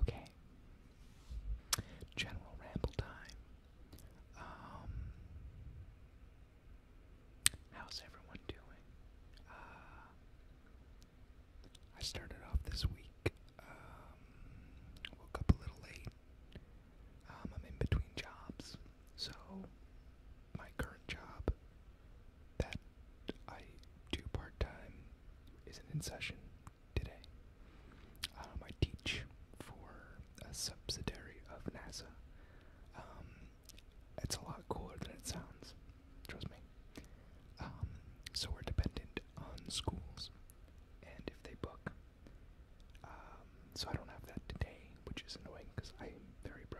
Okay. General ramble time. Um, how's everyone doing? Uh, I started off this week. Um, woke up a little late. Um, I'm in between jobs, so my current job that I do part time isn't in session today. Um, I teach for a subsidiary of NASA. Um, it's a lot cooler than it sounds, trust me. Um, so we're dependent on schools and if they book. so I don't have that today, which is annoying because I'm very broke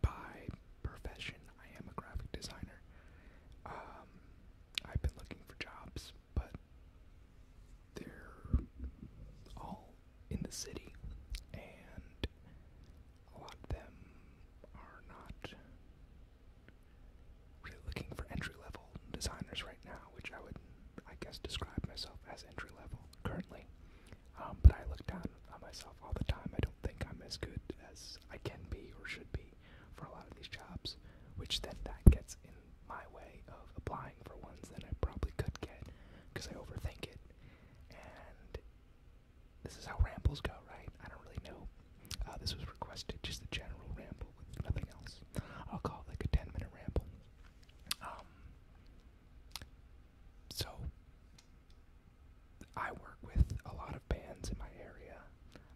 by profession, I am a graphic designer. Um, I've been looking for jobs, but they're all in the city, and a lot of them are not really looking for entry level designers right now, which I would, I guess, describe myself as entry level currently. Um, but I look down on myself all the time. I don't think I'm as good as I can be or should be for a lot of these jobs, which then that gets in my way of applying for ones that I probably could get because I overthink it. And this is how rambles go, right? I don't really know. Uh, this was requested, just a general ramble with nothing else. I'll call it like a 10 minute ramble. Um, so, I work with a lot of bands in my area.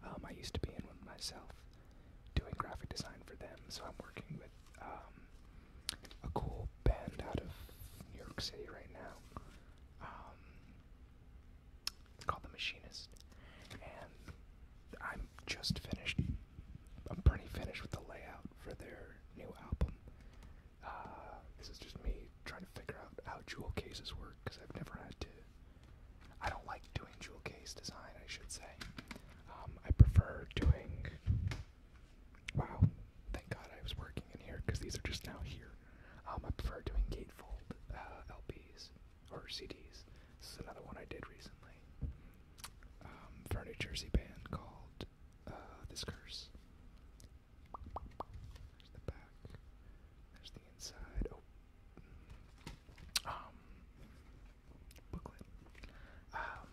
Um, I used to be in one myself, doing graphic design for them. So I'm working with um, a cool band out of New York City right now. Um, called The Machinist, and I'm just finished. I'm pretty finished with the layout for their new album. Uh, this is just me trying to figure out how jewel cases work because I've never had to. I don't like doing jewel case design, I should say. Um, I prefer doing. Wow, thank God I was working in here because these are just now here. Um, I prefer doing gatefold uh, LPs or CDs. This is another one I did recently um, Furniture for a Jersey band called uh, This Curse. There's the back. There's the inside. Oh. Mm. Um, booklet. Um,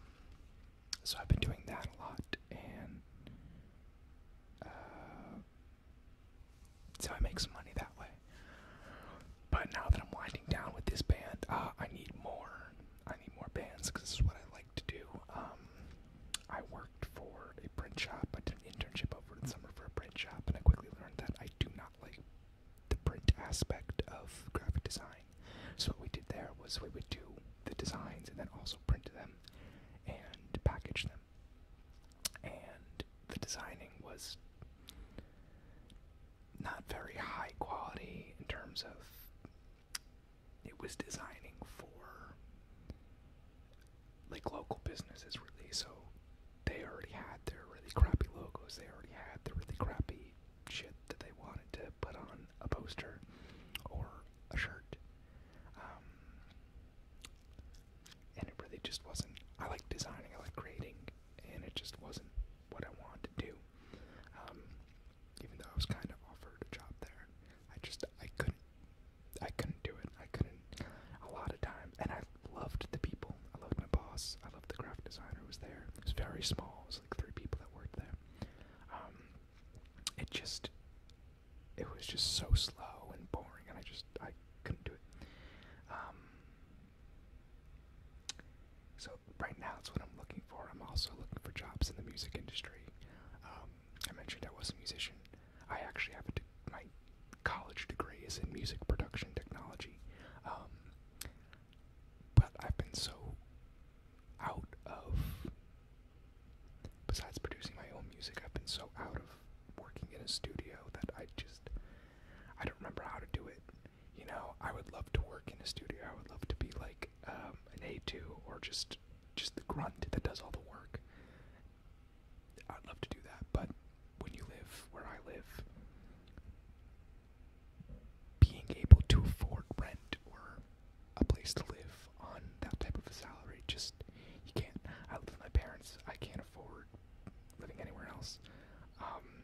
so I've been doing that a lot, and uh, so I make some money that way. But now that I'm winding down with this band, uh, I need more. I need more bands because this is what I like to do. Um, I worked for a print shop. I did an internship over the summer for a print shop, and I quickly learned that I do not like the print aspect of graphic design. So what we did there was we would do the designs and then also print them and package them. And the designing was not very high quality in terms of it was designing for like local businesses really so they already had their really crappy logos they already had the really crappy shit that they wanted to put on a poster or a shirt um, and it really just wasn't i like designing i like creating and it just wasn't what i wanted to do um, even though i was kind of offered a job there i just i couldn't I couldn't do it. I couldn't. A lot of times, and I loved the people. I loved my boss. I loved the graphic designer who was there. It was very small. It was like three people that worked there. Um, it just, it was just so slow and boring, and I just I couldn't do it. Um, so right now, that's what I'm looking for. I'm also looking for jobs in the music industry. Um, I mentioned I was a musician. I actually have a my college degree is in music production technology, um, but I've been so out of. Besides producing my own music, I've been so out of working in a studio that I just I don't remember how to do it. You know, I would love to work in a studio. I would love to be like um, an A2 or just just the grunt that does all the work. I'd love to do that, but when you live where I live, being able to afford rent or a place to live on that type of a salary, just you can't. I live with my parents. I can't afford living anywhere else. Um,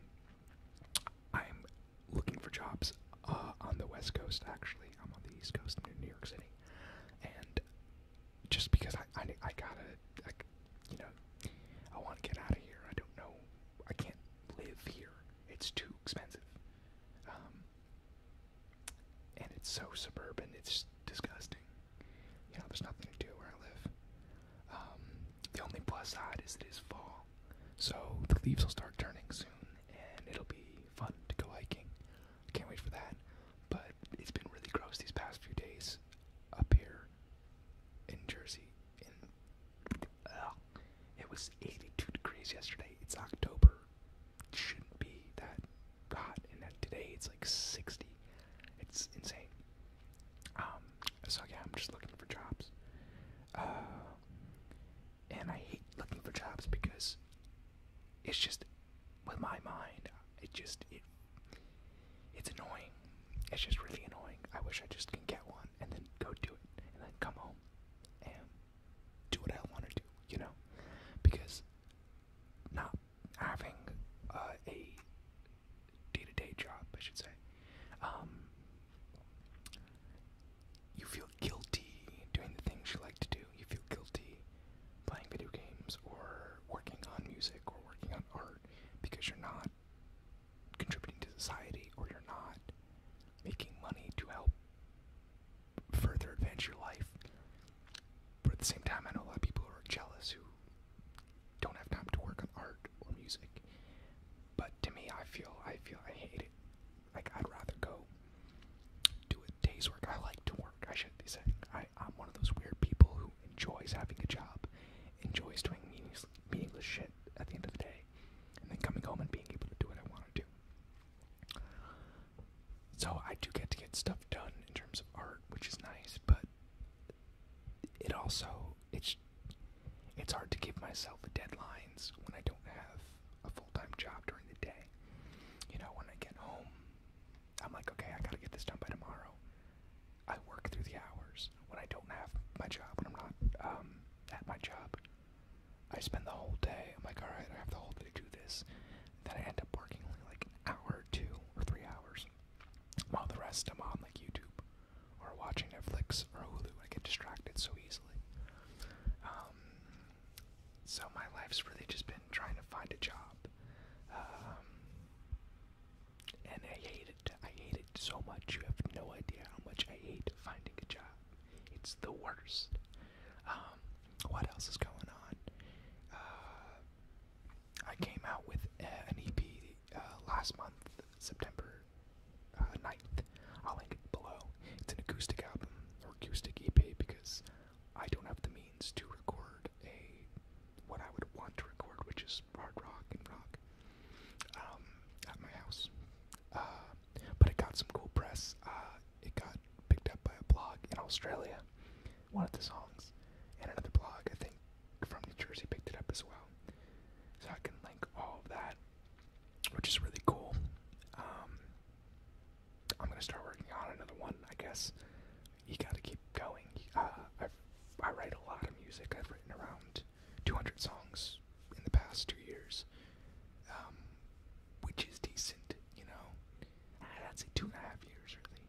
I'm looking for jobs uh, on the West Coast. Actually, I'm on the East Coast. in New York City and just because I, I, I gotta, you know, I want to get out of here. I don't know, I can't live here. It's too expensive, um, and it's so suburban. It's disgusting. You know, there's nothing to do where I live. Um, the only plus side is it is fall, so the leaves will start turning soon, and it'll be fun to go hiking. I can't wait for that. But it's been really gross these past few days up here in Jersey. In uh, it was 82 degrees yesterday. It's October. It shouldn't be that hot, and then today it's like 60. It's insane. Um, so yeah, I'm just looking for jobs. Uh, and I hate looking for jobs because it's just with my mind. It just it it's annoying. It's just really annoying. I wish I just can get one and then go do it and then come home and do what I want to do, you know? Because not having uh, a day-to-day job, I should say, um, you feel guilty doing the things you like to do do. You feel guilty playing video games or working on music or working on art because you're not contributing to society or you're not making money to help further advance your life. But at the same time, I know a lot of people who are jealous who don't have time to work on art or music. But to me, I feel I feel I hate it. Like I'd rather go do a day's work. I like to work, I should be saying. I, I'm one of those weird people who enjoys having a job, enjoys doing meaningless, meaningless shit at the end of the day, and then coming home and being able to do what I want to do. So I do get to get stuff done in terms of art, which is nice, but it also it's it's hard to give myself deadlines when I don't have a full-time job during the day. You know, when I get home, I'm like, okay, I gotta get this done by tomorrow. I work through the hours when I don't have my job, when I'm not um, at my job. I spend the whole day. I'm like, all right, I have the whole day to do this. Then I end up working only like an hour, two, or three hours, while the rest I'm on like YouTube or watching Netflix or Hulu. I get distracted so easily. Um, so my life's really just been trying to find a job, um, and I hate it. I hate it so much. You have no idea how much I hate finding a job. It's the worst. Um, what else is going on? Uh, I came out with an EP uh, last month, September uh, 9th. I'll link it below. It's an acoustic album or acoustic EP because I don't have the means to record a what I would want to record, which is hard rock and rock, um, at my house. Uh, but it got some cool press. Uh, it got picked up by a blog in Australia, one of the songs, and another blog I think from New Jersey picked it up as well. So I can link all of that, which is really cool. Um, I'm gonna start working on another one. I guess you gotta keep going. Uh, I write a lot of music. I've written around 200 songs in the past two years, um, which is decent. You know, I'd say two and a half years really.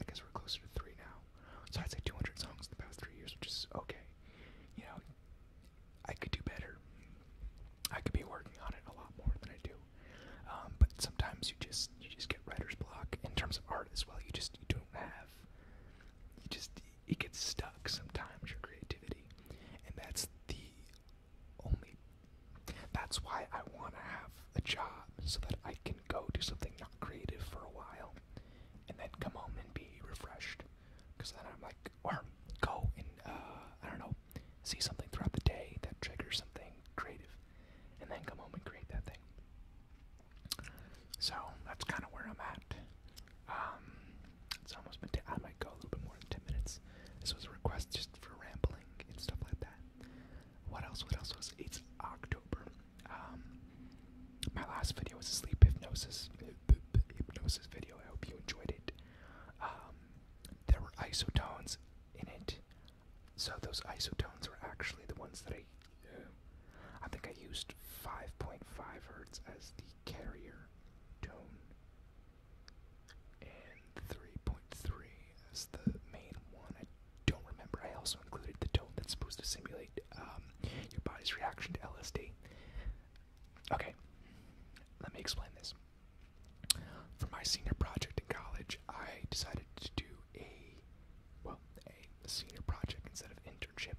I guess we're closer to three now. So I'd say 200 songs in the past three years, which is okay. You know, I could do better. I could be working on it a lot more than I do. Um, but sometimes you just you just get writer's block in terms of art as well. You just you don't have you just it gets stuck sometimes your creativity, and that's the only. That's why I want to have a job so that I can go do something not creative for a while, and then come home and be refreshed. Because then I'm like, or go and uh, I don't know, see something throughout the day that triggers something creative, and then come home and create that thing. So that's kind of where I'm at. Um, it's almost been. T I might go a little bit more than ten minutes. This was a request just for rambling and stuff like that. What else? What else was? It's October. Um, my last video was a sleep hypnosis hypnosis video. I hope you enjoyed it. Um, there were isotones in it. So those isotones were actually the ones that I, uh, I think I used 5.5 hertz as the carrier tone, and 3.3 as the main one. I don't remember. I also included the tone that's supposed to simulate um, your body's reaction to LSD. Okay, let me explain this. For my senior project in college, I decided to do a well, a senior project instead of internship.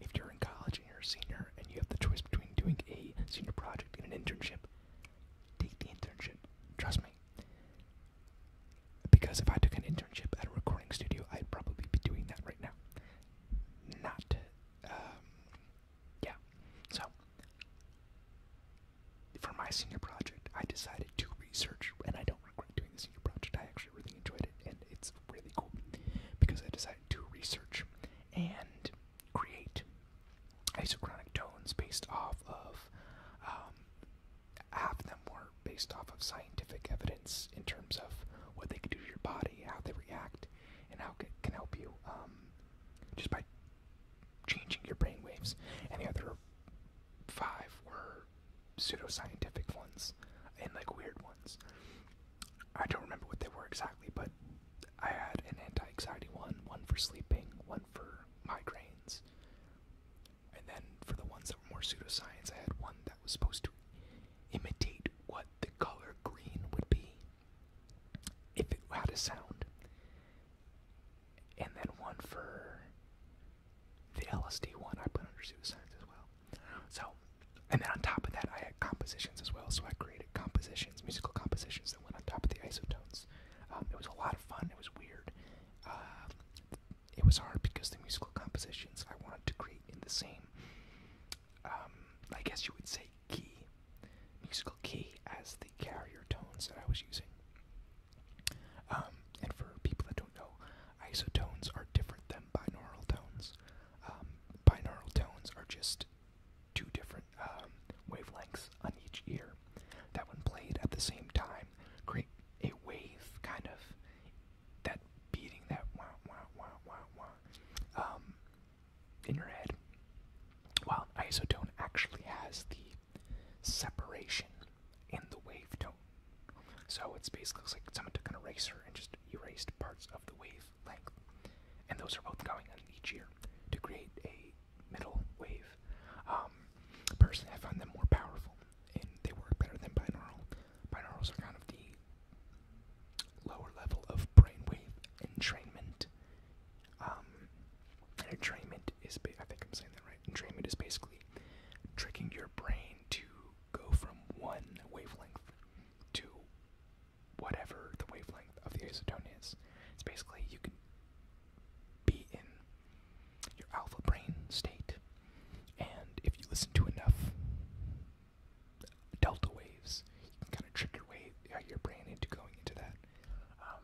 If you're in college and you're a senior and you have the choice between doing a senior project and an internship, take the internship. Trust me. Because if I took an internship at a recording studio, I'd probably be doing that right now. Not, um, yeah. So, for my senior project, I decided to research, and I don't regret doing this senior project. I actually really enjoyed it, and it's really cool because I decided to research and create isochronic tones based off of. Um, half of them were based off of scientific evidence in terms of what they could do to your body, how they react, and how it can help you um, just by changing your brain waves, and the other five were pseudoscientific ones and like weird ones. I don't remember what they were exactly, but I had an anti anxiety one, one for sleeping, one for migraines, and then for the ones that were more pseudoscience, I had one that was supposed to imitate what the color green would be if it had a sound and then one for the LSD one I put under suicides as well. So, and then on top of that, I had compositions as well. So I created compositions, musical compositions that went on top of the isotones. Um, it was a lot of fun. It was weird. Um, it was hard because the musical compositions I wanted to create in the same, um, I guess you would say, key, musical key as the carrier tones that I was using. Um, and for people that don't know, isotones are different than binaural tones. Um, binaural tones are just two different um, wavelengths on each ear that, when played at the same time, create a wave kind of that beating that wah wah wah wah wah um, in your head. While an isotone actually has the separation in the wave tone. So it's basically it's like someone took an eraser and just erased parts of the wave length. And those are both going on each year to create a middle wave. Um, personally, I find them more powerful and they work better than binaural. Binaurals are kind of the lower level of brainwave entrainment. Um, and entrainment is, I think I'm saying that right. Entrainment is basically tricking your brain to go from one wavelength to whatever the wavelength of the isotone is. It's basically you can be in your alpha brain state, and if you listen to enough delta waves, you can kind of trick your way, uh, your brain into going into that. Um,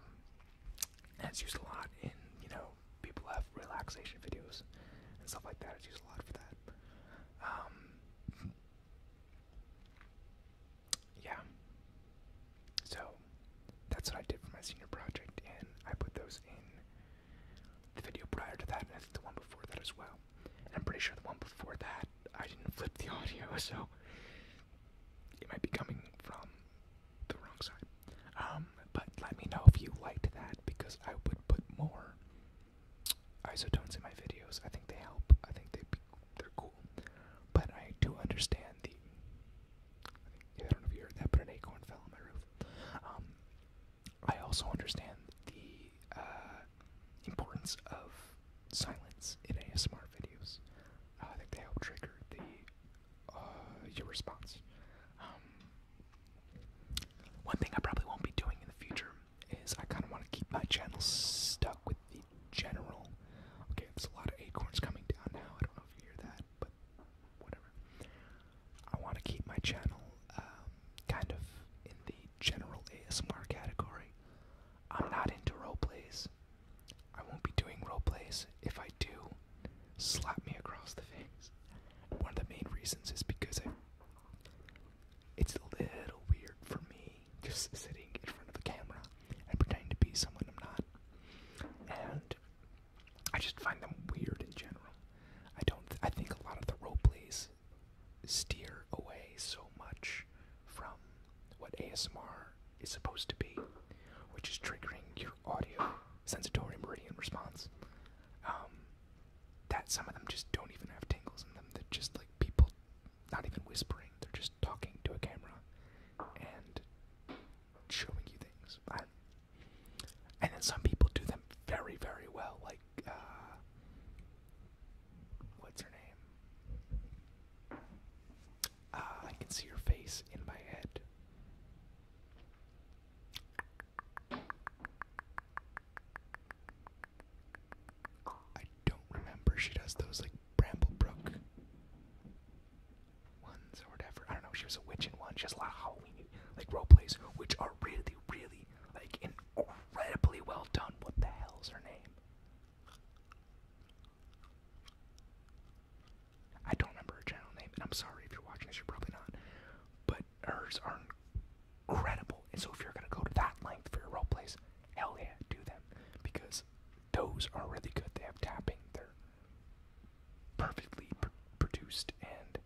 that's used a lot in, you know, people have relaxation videos and stuff like that. It's used a lot for that. Um, yeah. So that's what I did for my senior project, and I put those in the video prior to that, and I the one before that as well. And I'm pretty sure the one before that I didn't flip the audio, so it might be coming from the wrong side. Um, but let me know if you liked that because I would put more isotones in my videos. I think they help. I think they they're cool. But I do understand the. I, don't know if you heard that, but an acorn fell on my roof. Um, I also understand the uh, importance of silence in ASMR videos. Uh, I think they help trigger the uh, your response. Um, one thing I probably won't be doing in the future is I kind of want to keep my channel stuck with the general. Okay, there's a lot of acorns coming down now. I don't know if you hear that, but whatever. I want to keep my channel um, kind of in the general ASMR category. I'm not into role plays. I won't be doing role plays If I do, Slap me across the face. One of the main reasons is because I, it's a little weird for me just sitting in front of the camera and pretending to be someone I'm not. And I just find them weird in general. I don't. I think a lot of the role plays steer away so much from what ASMR is supposed to be which is triggering your audio sensatory meridian response. Um, that some of them just don't even have tingles in them. They're just like people not even whispering, they're just talking to a camera and showing you things. and then some people do them very, very well, like, uh, what's her name? Uh, I can see her face in my head. I don't remember. She does those like Bramblebrook ones or whatever. I don't know. She was a witch in one. She has a lot of Halloween like role plays, which are really, really like incredibly well done. What the hell's her name? I don't remember her channel name, and I'm sorry if you're watching this, you're probably not. But hers are incredible, and so if you're gonna go to that length for your role plays, hell yeah, do them because those are really good. They have tapping, they're perfectly produced, and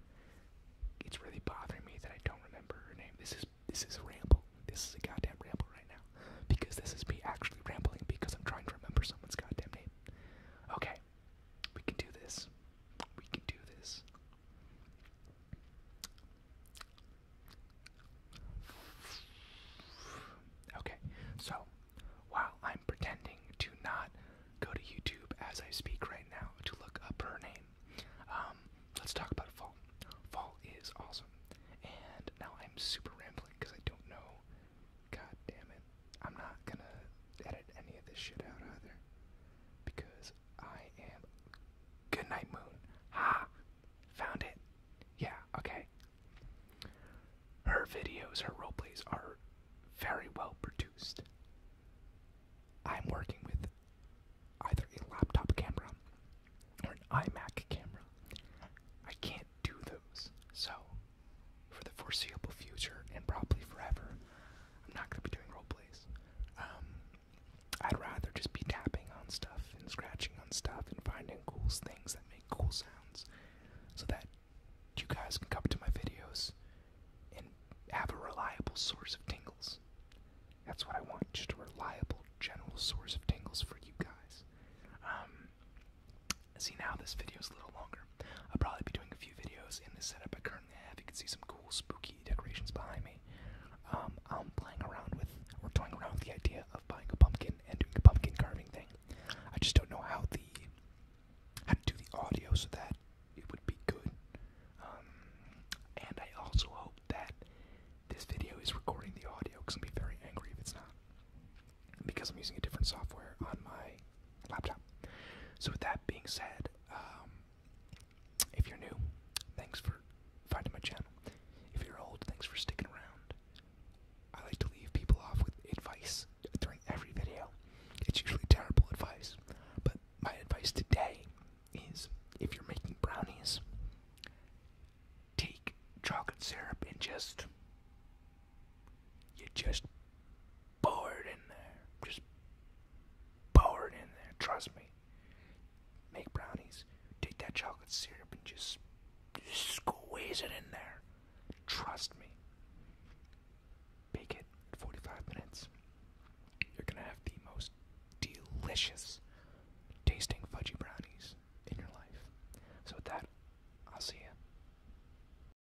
it's really bothering me that I don't remember her name. This is this is ramble. This is a goddamn ramble right now because this is me actually rambling because I'm trying to remember someone's goddamn name. Okay, we can do this. We can do this. Okay, so while I'm pretending to not go to YouTube as I speak right now to look up her name, um, let's talk about Fall. Fall is awesome, and now I'm super rambling because I don't know God damn it. I'm not gonna edit any of this shit out either. Because I am. Good night, Moon. Ha! Found it. Yeah, okay. Her videos, her role plays are very well produced. I'm working with either a laptop camera or an iMac camera. I can't do those, so for the foreseeable future and probably forever. I'm not going to be doing role plays. Um, I'd rather just be tapping on stuff and scratching on stuff and finding cool things that make cool sounds so that you guys can come to my videos and have a reliable source of tingles. That's what I want, just a reliable general source of tingles for you guys. Um, See now this video is a little longer. I'll probably be doing a few videos in this setup I currently have. You can see some cool spooky decorations behind me. Um, I'm playing around with or toying around with the idea of buying a pumpkin and doing a pumpkin carving thing. I just don't know how the how to do the audio so that it would be good. Um, and I also hope that this video is recording the audio because I'll be very angry if it's not. Because I'm using a different software on my laptop. So with that being said, um, if you're new, thanks for finding my channel. If you're old, thanks for sticking around. I like to leave people off with advice during every video. It's usually terrible advice, but my advice today is if you're making brownies, take chocolate syrup and just you just pour it in there. Just pour it in there. Trust me. Make brownies. Take that chocolate syrup and just, just squeeze it in there. Trust me. Bake it 45 minutes. You're gonna have the most delicious tasting fudgy brownies in your life. So with that, I'll see you.